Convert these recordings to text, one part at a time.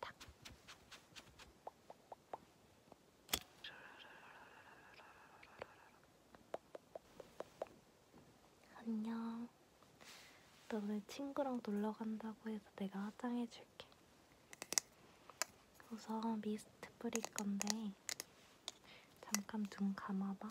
딱. 안녕. 너는 친구랑 놀러 간다고 해서 내가 화장해 줄게. 우선 미스트 뿌릴 건데 잠깐 눈 감아봐.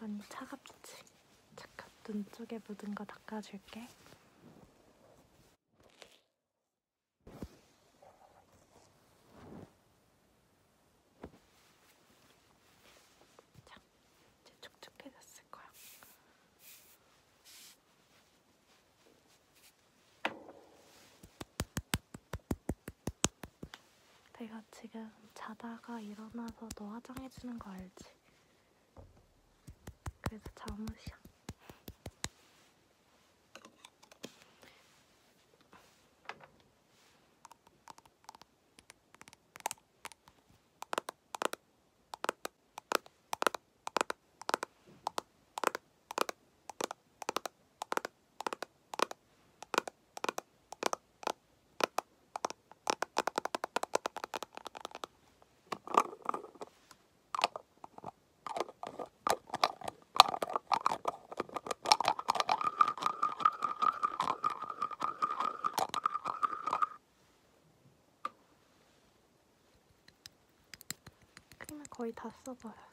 많이 차갑지? 잠깐 눈 쪽에 묻은 거 닦아줄게. 자, 이제 촉촉해졌을 거야. 내가 지금 자다가 일어나서 너 화장해주는 거 알지? 그래서 잠옷이야. 크림을 거의 다 써버렸어.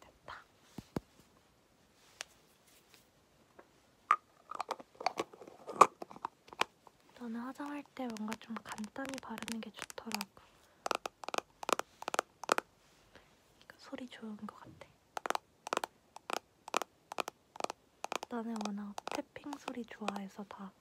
됐다. 저는 화장할 때 뭔가 좀 간단히 바르는 게 좋더라고. 이거 소리 좋은 것 같아. 나는 워낙 태핑 소리 좋아해서 다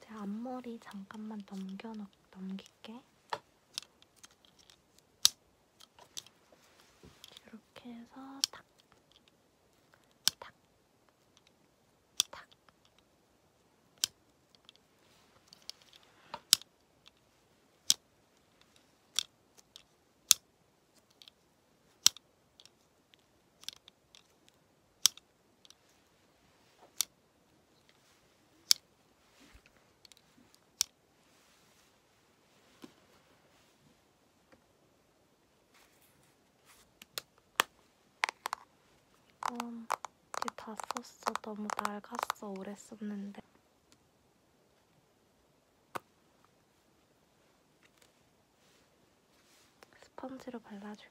제 앞머리 잠깐만 넘겨 넘길게. 이렇게 해서 탁, 탁, 탁. 이렇게 음, 이제 다 썼어. 너무 낡았어. 오래 썼는데. 스펀지로 발라줄게.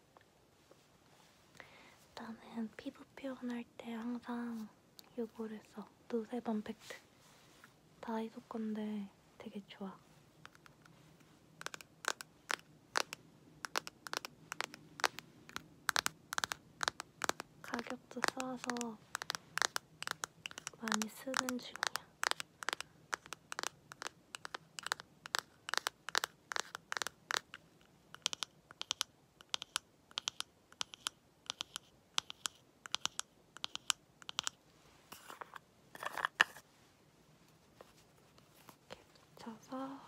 나는 피부 표현할 때 항상 이거를 써. 노세범 팩트. 다이소 건데 되게 좋아. 가격도 싸서 많이 쓰는 중이야. 붙여서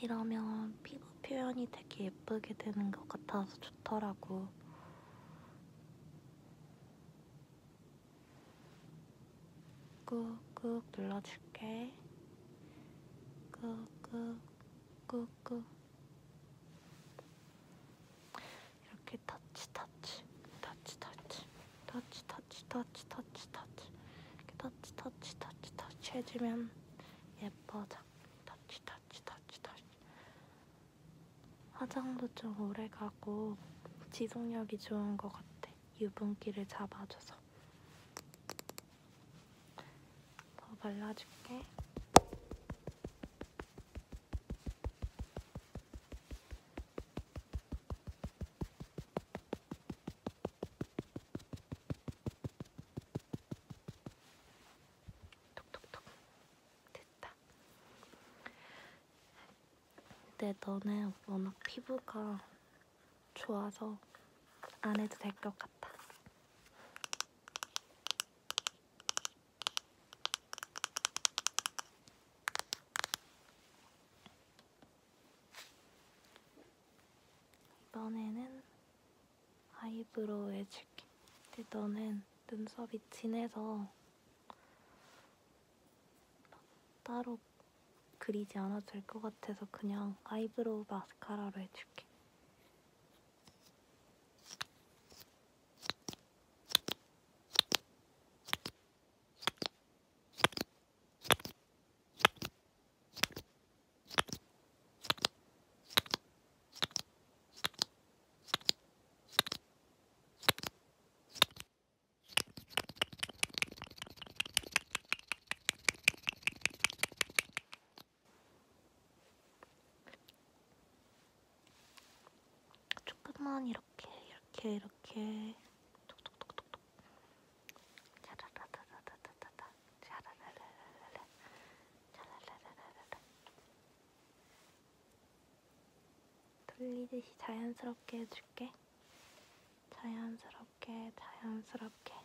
이러면 피부 표현이 되게 예쁘게 되는 것 같아서 좋더라고. 꾹꾹 눌러줄게. 꾹꾹, 꾹꾹. 이렇게 터치, 터치, 터치, 터치, 터치, 터치, 터치, 터치, 터치, 터치, 터치, 터치, 터치 해주면 예뻐져. 터치 터치 터치 터치 화장도 좀 오래가고 지속력이 좋은 것 같아 유분기를 잡아줘서 더 발라줄게 톡톡톡 됐다. 근데 너는 워낙 피부가 좋아서 안 해도 될 것 같아. 이번에는 아이브로우 해줄게. 근데 너는 눈썹이 진해서 따로 그리지 않아도 될 것 같아서 그냥 아이브로우 마스카라로 해줄게. 조금만 이렇게 이렇게 이렇게 톡톡톡톡톡 자라라라라라라라 자라라라라라라 자라라라라라라 돌리듯이 자연스럽게 해줄게 자연스럽게 자연스럽게 자연스럽게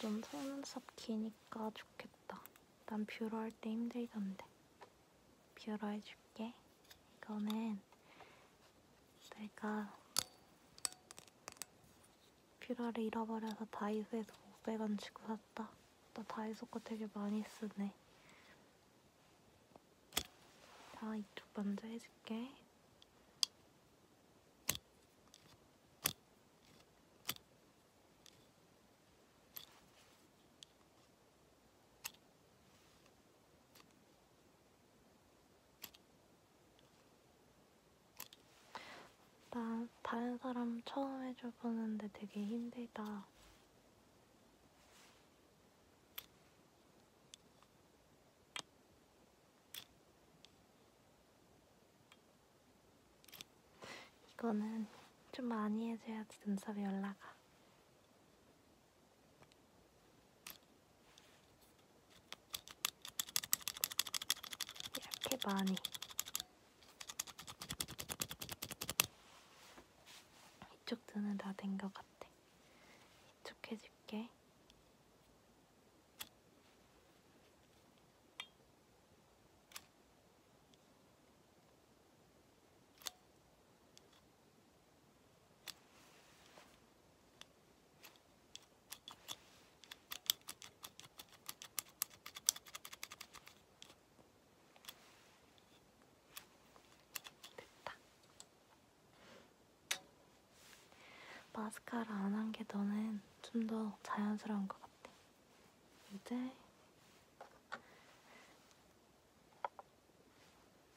좀 속눈썹 기니까 좋겠다. 난 뷰러 할 때 힘들던데. 뷰러 해줄게. 이거는 내가 뷰러를 잃어버려서 다이소에서 500원 주고 샀다. 나 다이소 거 되게 많이 쓰네. 자, 이쪽 먼저 해줄게. 나 다른 사람 처음 해줘보는데 되게 힘들다. 이거는 좀 많이 해줘야지 눈썹이 올라가. 이렇게 많이. 이쪽 눈은 다 된 것 같아. 이쪽 해줄게. 됐다. 마스카라 안 한 게 너는 좀 더 자연스러운 것 같아. 이제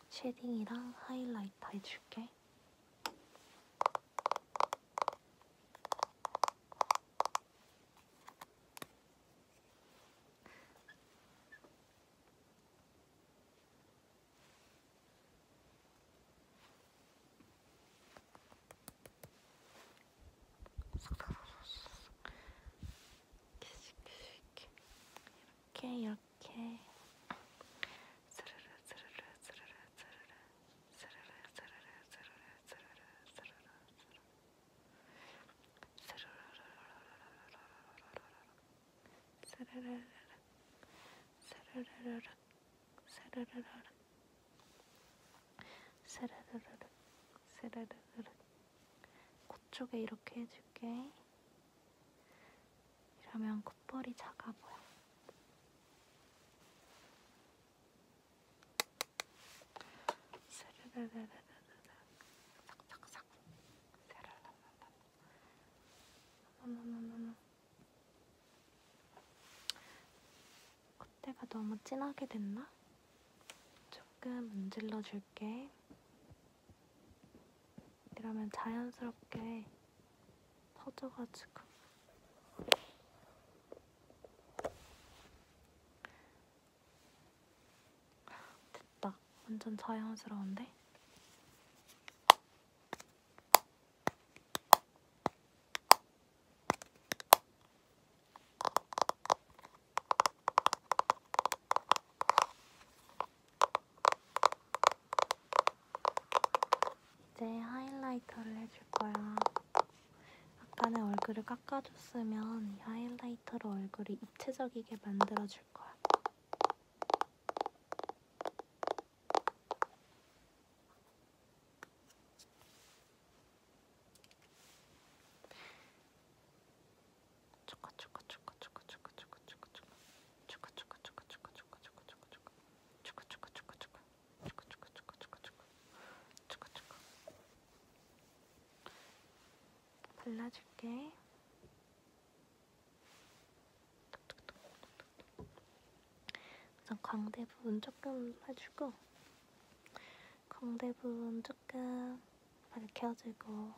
쉐딩이랑 하이라이터 해줄게. 이렇게 이렇게 스르르 스르르 스르르 스르르 스르르 스르르 스르르 스르르 스르르 스르르 스르르르 스르르르 스르르르 스르르르 스르르르 코 쪽에 이렇게 해줄게. 이러면 콧볼이 작아 보여. 스르르르르 삭삭삭 새를 담는다. 어머머머머머. 콧대가 너무 진하게 됐나? 조금 문질러 줄게. 이러면 자연스럽게 퍼져가지고. 됐다. 완전 자연스러운데? 이제 하이라이터를 해줄 거야. 아까는 얼굴을 깎아줬 해줬으면 이 하이라이터로 얼굴을 입체적이게 만들어줄 거야. 발라줄게. 우선 광대 부분 조금 해주고 광대 부분 조금 밝혀주고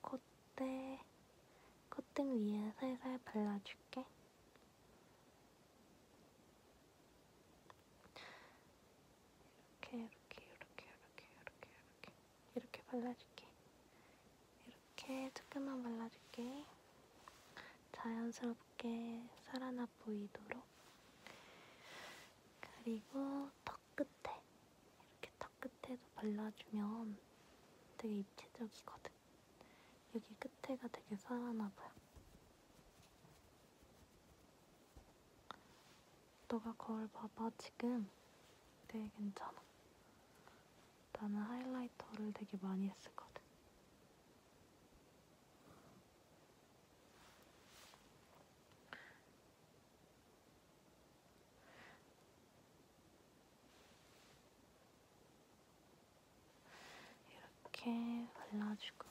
콧대 콧등 위에 살살 발라줄게. 이렇게 이렇게 이렇게 이렇게 이렇게 이렇게 이렇게 발라줄게. 이렇게 조금만 발라줄게. 자연스럽게 살아나 보이도록. 그리고 턱 끝에 이렇게 턱 끝에도 발라주면 되게 입체적이거든. 여기 끝에가 되게 살아나 보여. 너가 거울 봐봐 지금 되게 네, 괜찮아 나는 하이라이터를 되게 많이 했었거든 이렇게 발라주고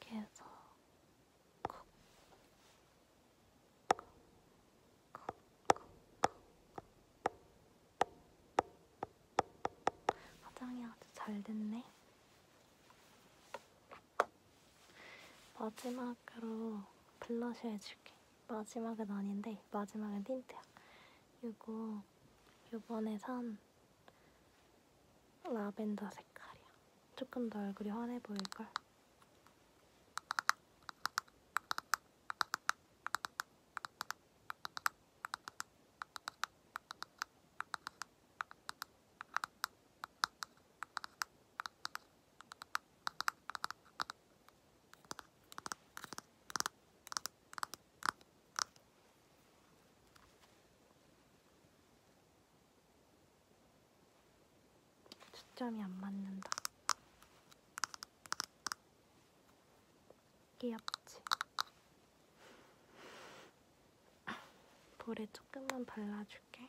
이렇게 해서 콕, 콕, 콕, 콕, 콕. 화장이 아주 잘 됐네. 마지막으로 블러셔 해줄게. 마지막은 아닌데 마지막은 틴트야. 이거 요번에 산 라벤더 색깔이야. 조금 더 얼굴이 환해 보일걸? 초점이 안 맞는다. 귀엽지? 볼에 조금만 발라줄게.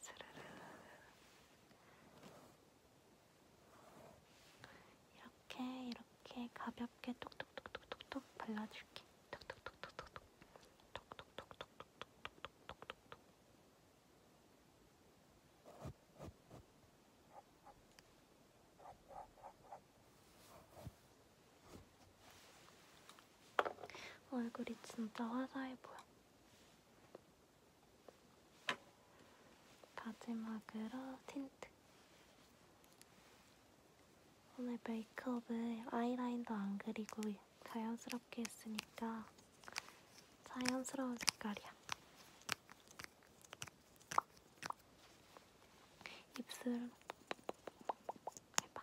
스르르 이렇게 이렇게 가볍게 톡톡톡톡톡 발라줄게. 톡톡톡톡톡톡 톡톡톡톡톡 얼굴이 진짜 화사해 보여. 마지막으로 틴트. 오늘 메이크업은 아이라인도 안 그리고 자연스럽게 했으니까 자연스러운 색깔이야. 입술 해봐.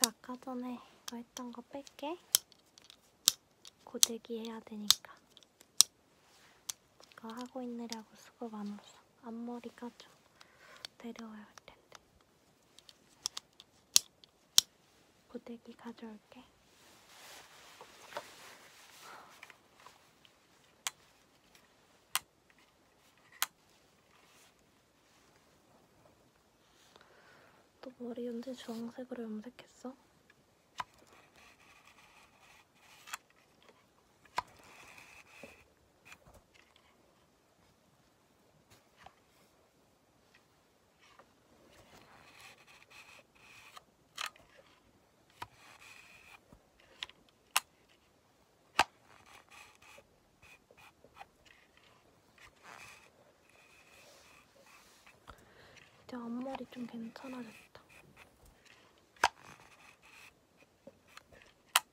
저 아까 전에 이거 했던 거 뺄게. 고데기 해야 되니까. 이거 하고 있느라고 수고 많았어. 앞머리가 좀 내려와야 할 텐데. 텐데. 고데기 가져올게. 또 머리 언제 주황색으로 염색했어? 이제 앞머리 좀 괜찮아졌다.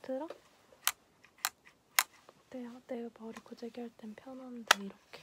들어? 어때요? 내가 머리 고데기 할 땐 편한데 이렇게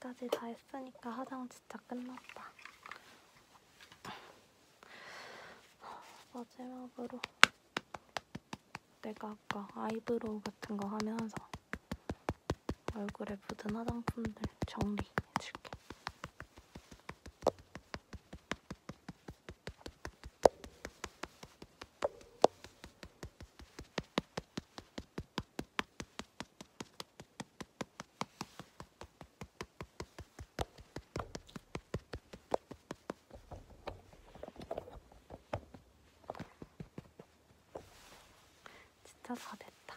까지 다 했으니까 화장 진짜 끝났다. 마지막으로 내가 아까 아이브로우 같은 거 하면서 얼굴에 묻은 화장품들 정리해줄게. 진짜 다 됐다.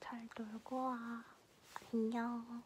잘 놀고 와. 안녕.